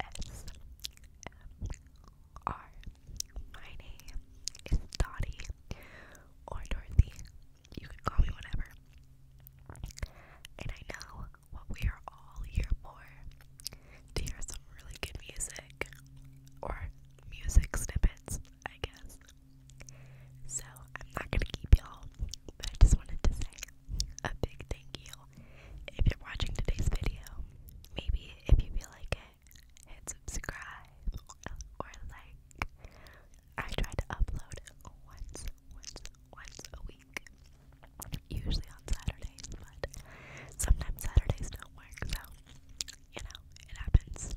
ASMR. My name is Dottie or Dorothy. You can call me whatever. And I know what we are all here for to hear some really good music or music snippets, I guess. So I'm not gonna keep y'all, but I just wanted to say a big thank you if you're watching today's video. Maybe if you feel like it, hit subscribe or like. I try to upload once, once, once a week. Usually on Saturdays, but sometimes Saturdays don't work, so you know, it happens.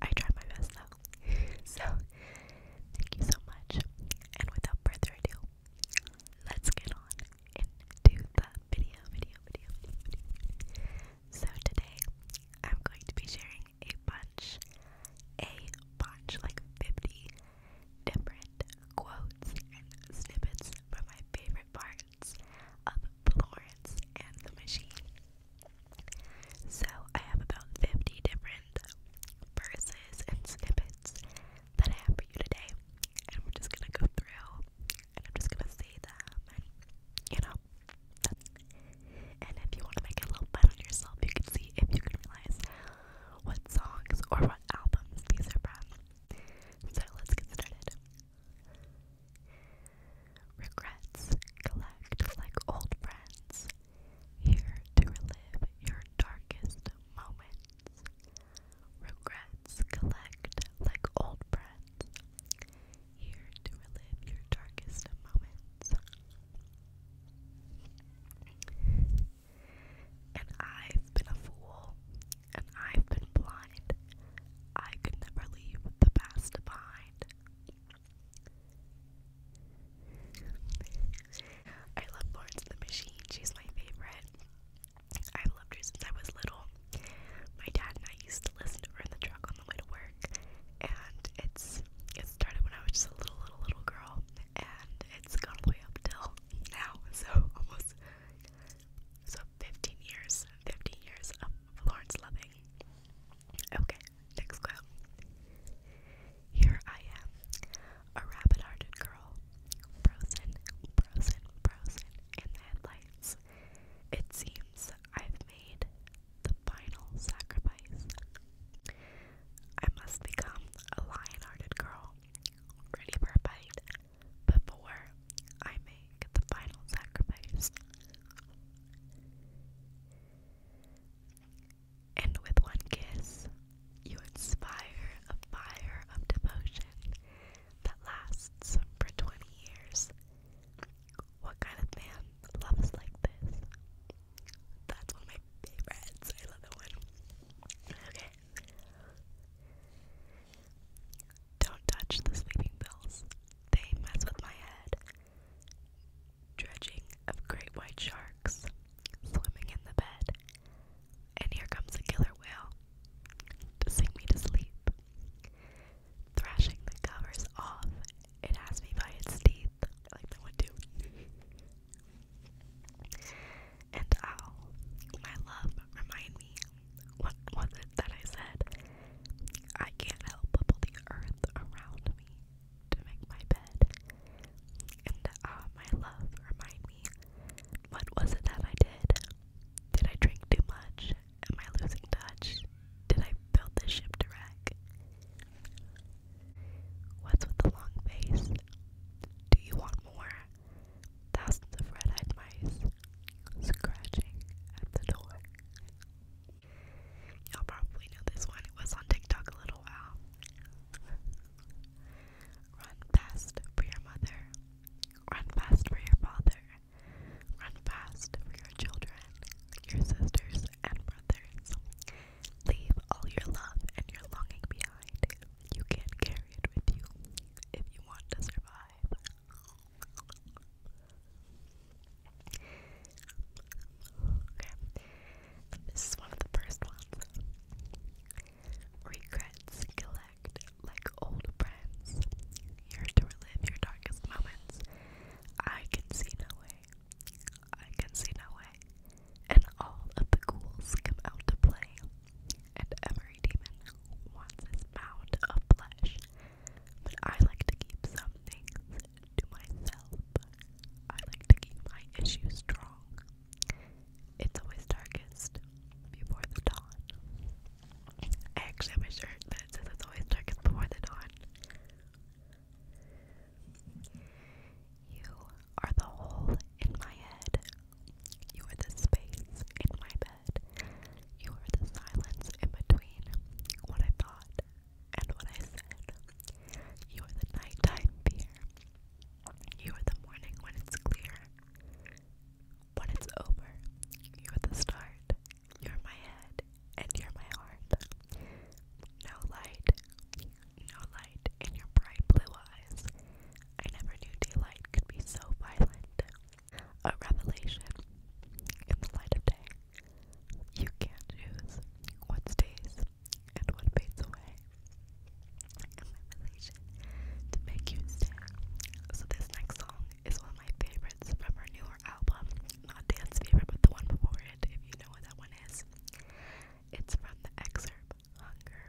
I try my best though. So thank you so much. And without further ado, let's get on into the video, video, video, video, So today, I'm going to be sharing a bunch, a bunch, like 50 different quotes and snippets from my favorite parts of Florence and the Machine. So I have about 50 different verses and snippets that I have for you today. And we're just gonna go through and I'm just gonna see them you know. And if you wanna make a little bet on yourself, you can see if you can realize what songs or what albums these are from. So let's get started. Regrets collect like old friends, here to relive your darkest moments. Regrets collect like old friends, here to relive your darkest moments. And I've been a fool, and I've been blind. I could never leave the past behind. I love Florence the Machine, she's my favorite. I've loved her since I was little. My dad and I used to listen to her in the truck on the way to work, and it's it started when I was just a little, little, little girl, and it's gone all the way up till now. So almost so 15 years, 15 years of Florence Loving. Okay, next quote. Here I am, a rabbit-hearted girl Frozen, frozen, frozen in the headlights. It seems I've made the final sacrifice. I must become a lion hearted girl, ready for a fight, before I make the final sacrifice. And with one kiss, you inspire a fire of devotion that lasts for 20 years. What kind of man loves like this? That's one of my favorites. I love that one. Okay. Don't touch the sleeping pills. They mess with my head. Dredging of great white sharks swimming in the bed and here comes the killer whale to sing me to sleep. Thrashing the covers off, it has me by its teeth, like they would do. and ow, my love, remind me, what was it that I said? I can't help but the earth around me to make my bed. And ah, my love, remind me, what was it that I did? Did I drink too much? Am I losing touch? Did I build this ship to wreck? What's with the long face? Do you want more? Thousands of red eyed mice scratching at the door. Y'all probably know this one, it was on TikTok a little while. Run fast for your mother. Run fast for your father. Run fast for your children, your sisters, and brothers. Leave all your love and your longing behind. You can't carry it with you if you want to survive. this is one of the first ones. Regrets collect like old friends. Here to relive your darkest moments. I can see no way. I can see no way. And all of the ghouls come out to play. And every demon wants his mound of flesh. But I like to keep some things to myself. I like to keep my issues strong. It's always darkest before the dawn. I actually have a shirt that says it's always darkest before the dawn. You are the hole in my head. You are the space in my bed. You are the silence in between what I thought and what I said. You are the nighttime fear. You are the morning when it's clear. When it's over, you're the start, you're my head, and you're my heart. No light, no light in your bright blue eyes. I never knew daylight could be so violent. A revelation in the light of day. You can choose what stays and what fades away. And my to make you stay. So this next song is one of my favorites from her newer album. Not Dan's favorite, but the one before it, if you know what that one is. It's from the excerpt Hunger,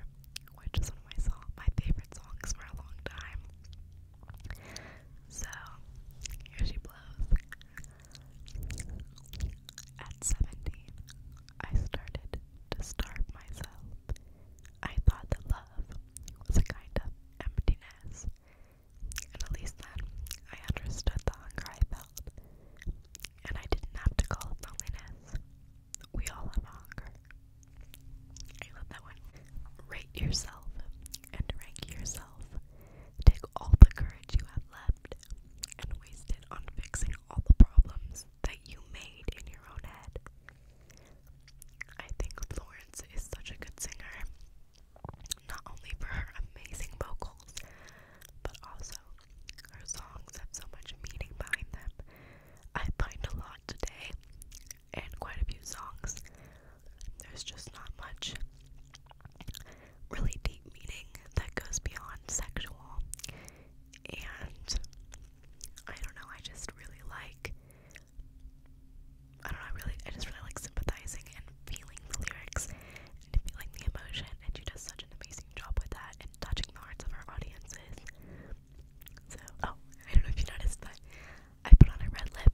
which is one of my song my favorite songs for a long time. So here she blows. At 17, I started to starve myself. I thought that love was a kind of emptiness, and at least then I understood the hunger I felt, and I didn't have to call it loneliness. We all have hunger. I love that one. Rate yourself and rank yourself. Take all the courage you have left and waste it on fixing all the problems that you made in your own head. I think Florence is such a good singer, not only for her amazing vocals, but also her songs have so much meaning behind them. I find a lot today, and quite a few songs. There's just not much really deep meaning that goes beyond sexual, and I don't know, I just really like I don't know, really I just really like sympathizing and feeling the lyrics and feeling the emotion and she does such an amazing job with that and touching the hearts of her audiences. So oh, I don't know if you noticed but I put on a red lip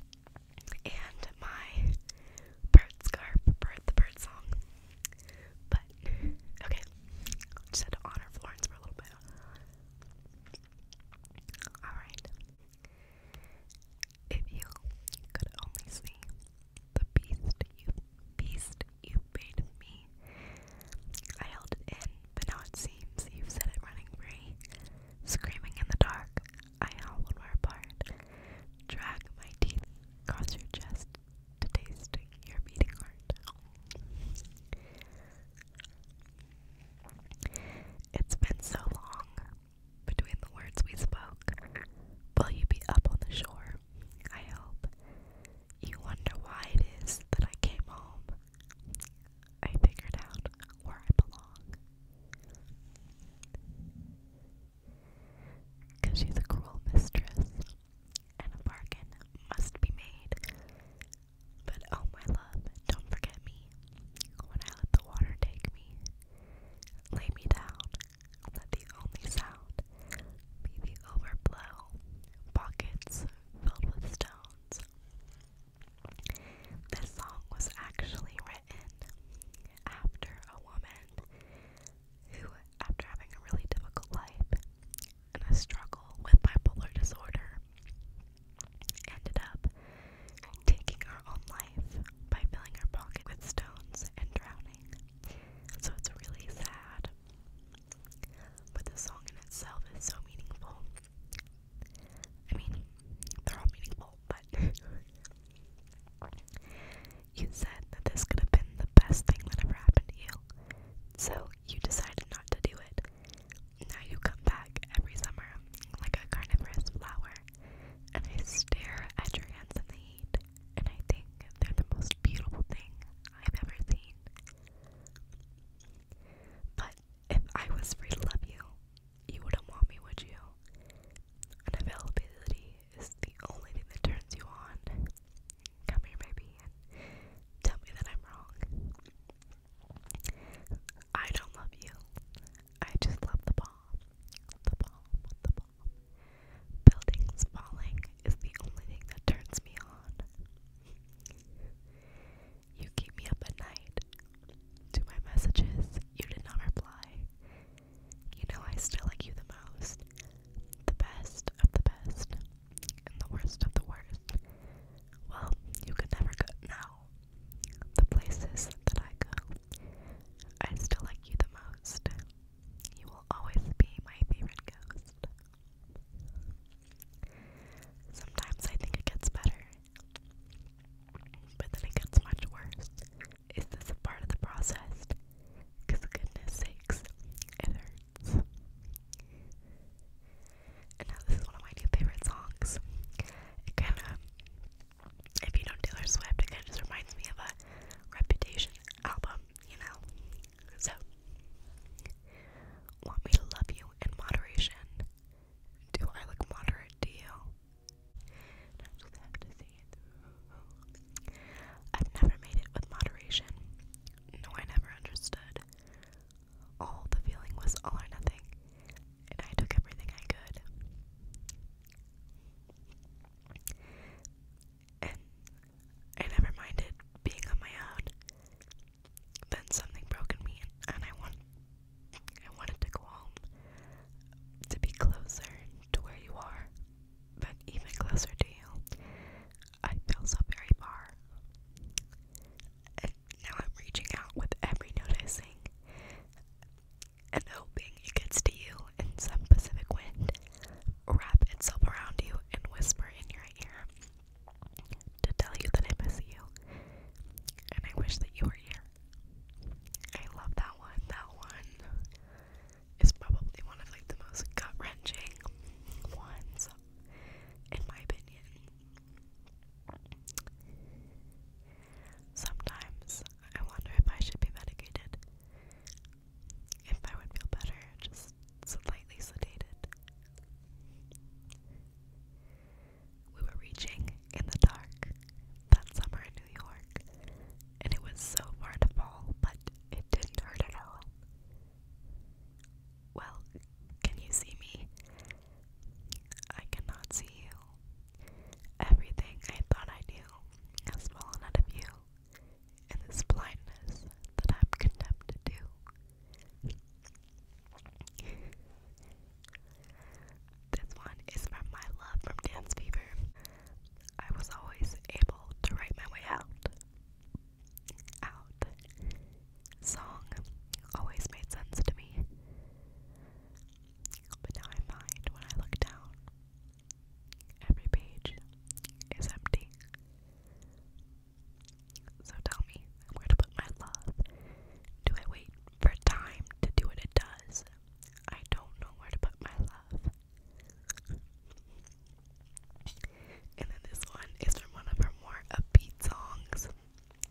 and my bird scarf bird the bird song. But okay. Just had to honor Florence for a little bit. Alright. If you could only see the beast you beast you made me. I held it in, but now it seems you've set it running free. Screaming in the dark, I howled where apart. Drag my teeth across your chest to taste your beating heart. It's been so long between the words we spoke. Will you be up on the shore? I hope. You wonder why it is that I came home. I figured out where I belong. Cause she's a cruel mistress, and a bargain must be made. But oh my love, don't forget me when I let the water take me. Lay me down, let the only sound be the overflow, pockets filled with stones. This song was actually written after a woman who, after having a really difficult life and a struggle with bipolar disorder, ended up taking her own life by filling her pocket with stones and drowning. So it's really sad. But the song in itself is so meaningful. I mean, they're all meaningful, but you said that this could have been the best thing that ever happened to you. So you decided not to do it. Now you come back every summer like a carnivorous flower, and I stare at your hands in the heat, and I think they're the most beautiful thing I've ever seen. But if I was free to love you, you wouldn't want me, would you? And is the only thing that turns you on. Come here, baby, and tell me that I'm wrong. I don't love you. I just love the bomb. The bomb, the bomb. Buildings falling is the only thing that turns me on. You keep me up at night. To my messages, you did not reply. You know I still like you the most. The best of the best. And the worst of the worst. Well, you could never go now the places that I go. I still like you the most. You will always be my favorite ghost. Sometimes I think it gets better, but then it gets much worse. Is this a part of the process? goodness sakes, it hurts. And now this is one of my new favorite songs. It kind of, if you know Taylor Swift, it kind of just reminds me of a Reputation album, you know? So, want me to love you in moderation? Do I look moderate to you? I have to see it I've never made it with moderation. No, I never understood all the feeling was all or nothing, and I took everything I could. And I never minded being on my own. Then something broke in me, and I want, I wanted to go home, to be closer to where you are, but even closer to you. I feel so very far. Now I'm reaching out with every noticing and hoping it could steal in some Pacific wind, wrap itself around you, and whisper in your ear to tell you that I miss you and I wish that you were here. I love that one. That one is probably one of like the most gut wrenching ones in my opinion. Sometimes I wonder if I should be medicated. If I would feel better, just slightly sedated. We were reaching in the dark that summer in New York, and it was so far to fall, but it didn't hurt at all. Well, can you see me? I cannot see you. Everything I thought I knew has fallen out of you in this blindness that I'm condemned to do. This one is from my love from Dance Fever. I was always able to write my way out. Out. Song always made sense to me. But now I find when I look down, every page is empty. So tell me where to put my love. Do I wait for time to do what it does? I don't know where to put my love. And then this one is from one of her more upbeat songs. Okay.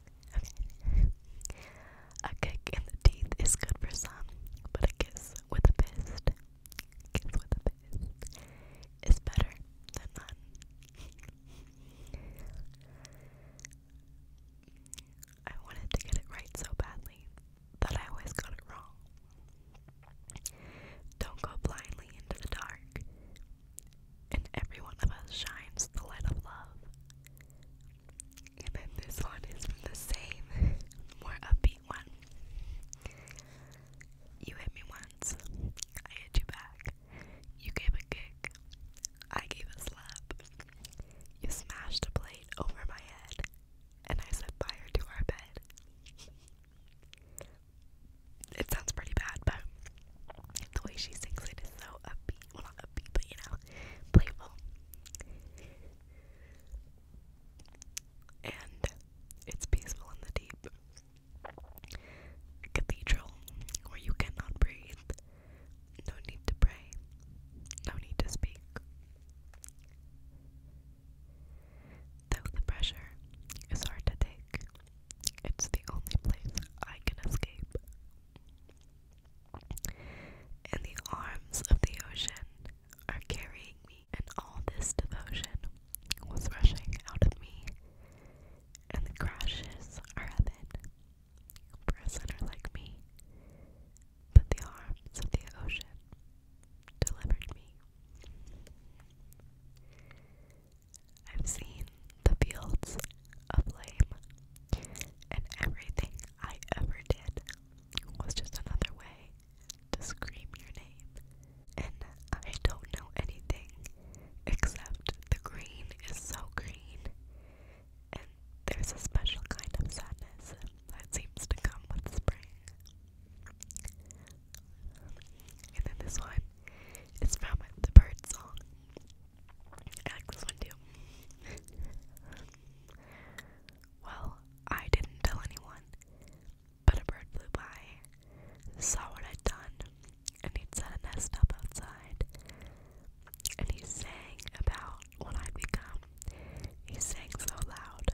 A kick in the teeth is good for some, but a kiss with a fist, kiss with a fist, is better than none. I wanted to get it right so badly that I always got it wrong. Don't go blindly into the dark. In every one of us shines the light of love. And then this one is from the same, more upbeat one. You hit me once, I hit you back. You gave a kick, I gave a slap. You smashed a plate over my head, and I set fire to our bed. It sounds pretty bad, but the way she sings it is so upbeat well not upbeat, but you know, playful. And it's peaceful in the deep cathedral where you cannot breathe. No need to pray. No need to speak. Though the pressure is hard to take, it's the only place I can escape and the arms of the ocean are carrying me, and all this devotion was rushing out of me, and the crashes are heaven for a sinner like me. But the arms of the ocean delivered me. I've seen the fields a flame, and everything I ever did was just another way to scream your name. And I don't know anything except the green is so green, and there's a special kind of sadness that seems to come with spring. And then this one is from the bird song. I like this one too. well, I didn't tell anyone, but a bird flew by, saw what I'd done, and he'd set a nest up outside. And he sang about what I'd become. He sang so loud,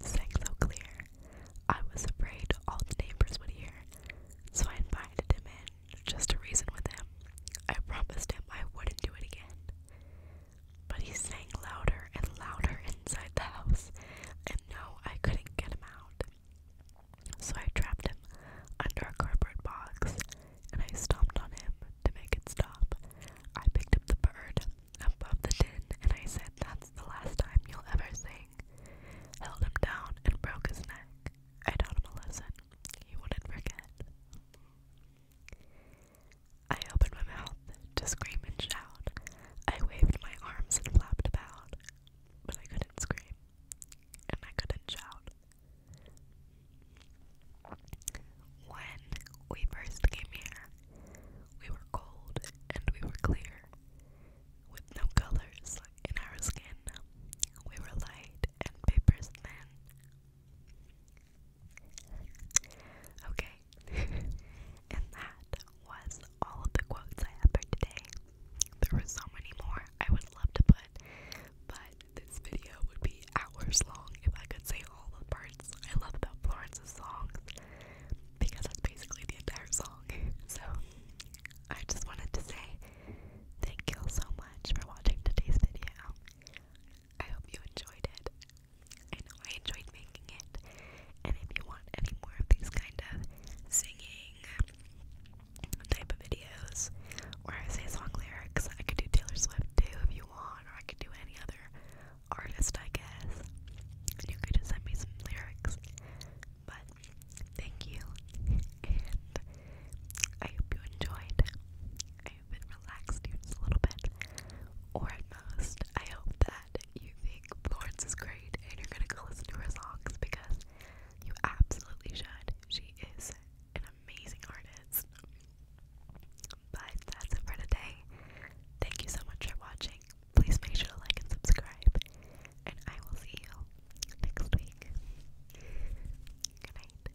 sang so clear. I was afraid all the neighbors would hear, so I invited him in just to reason with him. I promised him I wouldn't do it again. But he sang louder and louder inside the house, and no, I couldn't get him out. So I trapped him under a cardboard box, and I stomped on him to make it stop. I picked up the bird above the tin, and I said, That's the last time you'll ever sing. Held him down and broke his neck. I taught him a lesson he wouldn't forget. I opened my mouth to scream and shout. I waved my arms and flapped about, but I couldn't scream, and I couldn't shout. When we first came here, we were cold and we were clear, with no colors in our skin. We were light and paper thin. Okay, and that was all of the quotes I had today. There were so many more I would love to put, but this video would be hours long if I could say all the parts I love about Florence's songs because that's basically the entire song. So, I just wanted to say thank you so much for watching today's video. I hope you enjoyed it. I know I enjoyed making it. And if you want any more of these kind of singing type of videos where I say song lyrics, I could do Taylor Swift too if you want, or I could do any other artist, I guess. you could send me some lyrics. But thank you, and I hope you enjoyed relaxed just a little bit, or at most, I hope that you think Florence is great and you're gonna go listen to her songs because you absolutely should. She is an amazing artist. But that's it for today. Thank you so much for watching. Please make sure to like and subscribe, and I will see you next week. Good